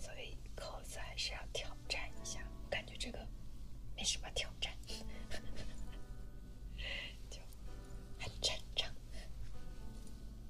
所以扣子还是要挑战一下，我感觉这个没什么挑战，就很正常。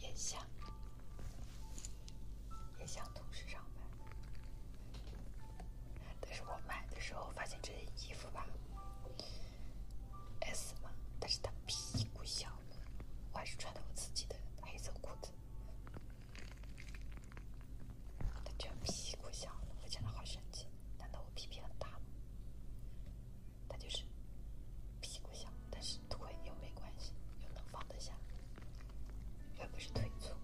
也想，也想同时上班。但是我买的时候发现这件衣服吧，S 嘛，但是它屁股小，我还是穿的我自己的黑色裤子。它居然屁股小，我真的好神奇。难道我屁屁很大吗？他就是屁股小，但是腿又没关系，又能放得下，又不是腿粗。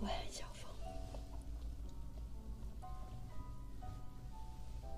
喂，小峰。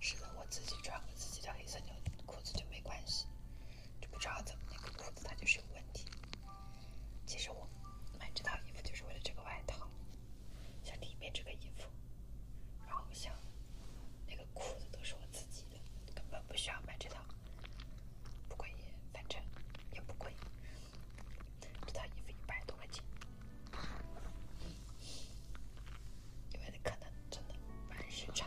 是的，我自己穿我自己的黑色牛裤子就没关系，就不知道怎么那个裤子它就是有问题。其实我买这套衣服就是为了这个外套，像里面这个衣服，然后像那个裤子都是我自己的，根本不需要买这套，不贵，反正也不贵。这套衣服一百多块钱，因为可能真的版式差。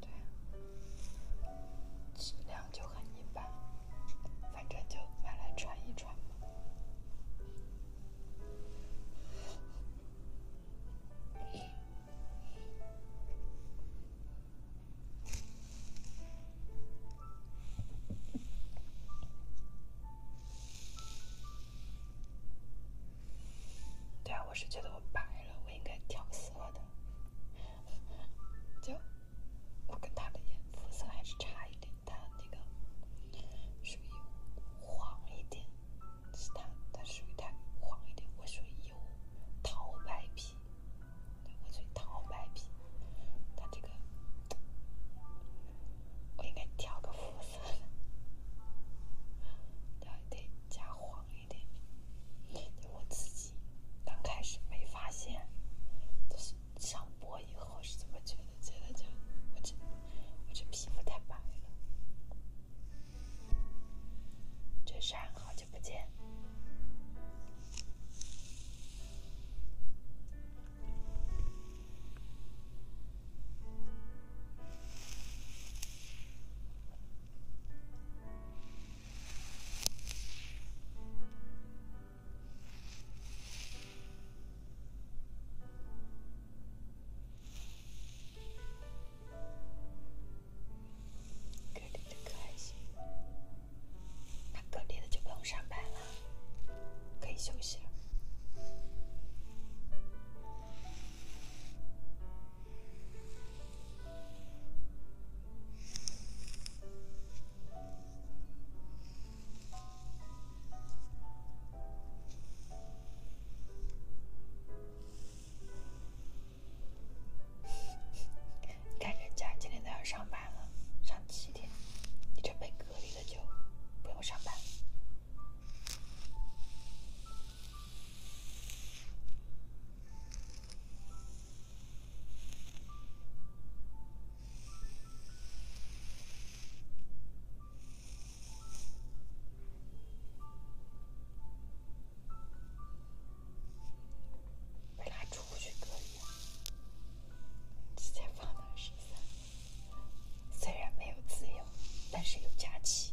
对啊，质量就很一般，反正就买来穿一穿嘛。对啊，我是觉得我白了，我应该调色的。就我跟他的颜肤色还是差一点，他那个属于黄一点，是他他属于他黄一点，我属于油桃白皮，我属于桃白皮，他这个我应该调个肤色，要得加黄一点，得我自己。刚开始没发现，就是上播以后是怎么觉得，觉得就我这我这皮肤太白了。这山好久不见。可怜的可爱心，他可怜的就不用上班了，可以休息了。看人家今天都要上班了，上七点。你这被隔离的就不用上班。我俩出去可以，直接放到十三。虽然没有自由，但是有假期。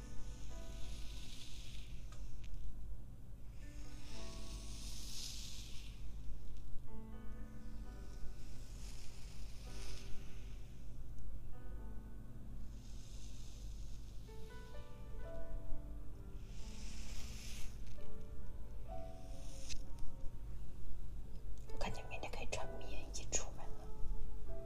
我感觉明天可以穿棉衣出门了。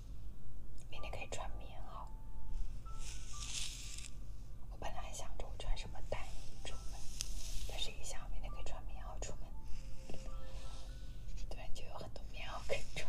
明天可以穿棉袄。我本来想着我穿什么单衣出门，但是一想我明天可以穿棉袄出门，对，就有很多棉袄可以穿。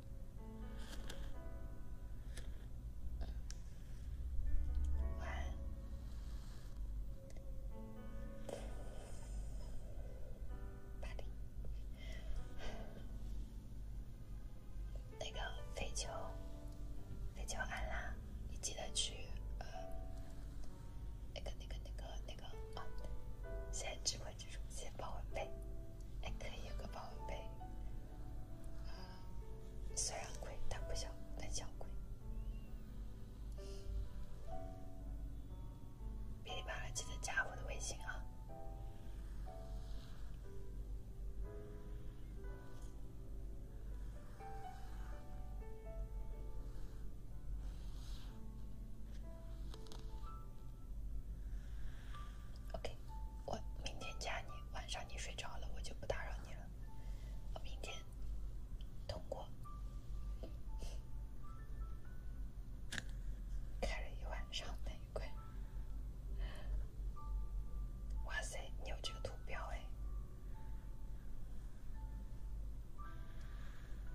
八零，那个飞球，飞球安啦，你记得去，呃，那个那个那个那个啊，先指挥。这种些保温杯，哎，可以有个保温杯，啊，虽然贵，但不小，但小贵。别离别了，记得加我的微信啊。OK，我明天加你。晚上你睡着了，我就不打扰你了。我明天通过开了一晚上玫瑰。哇塞，你有这个图标哎！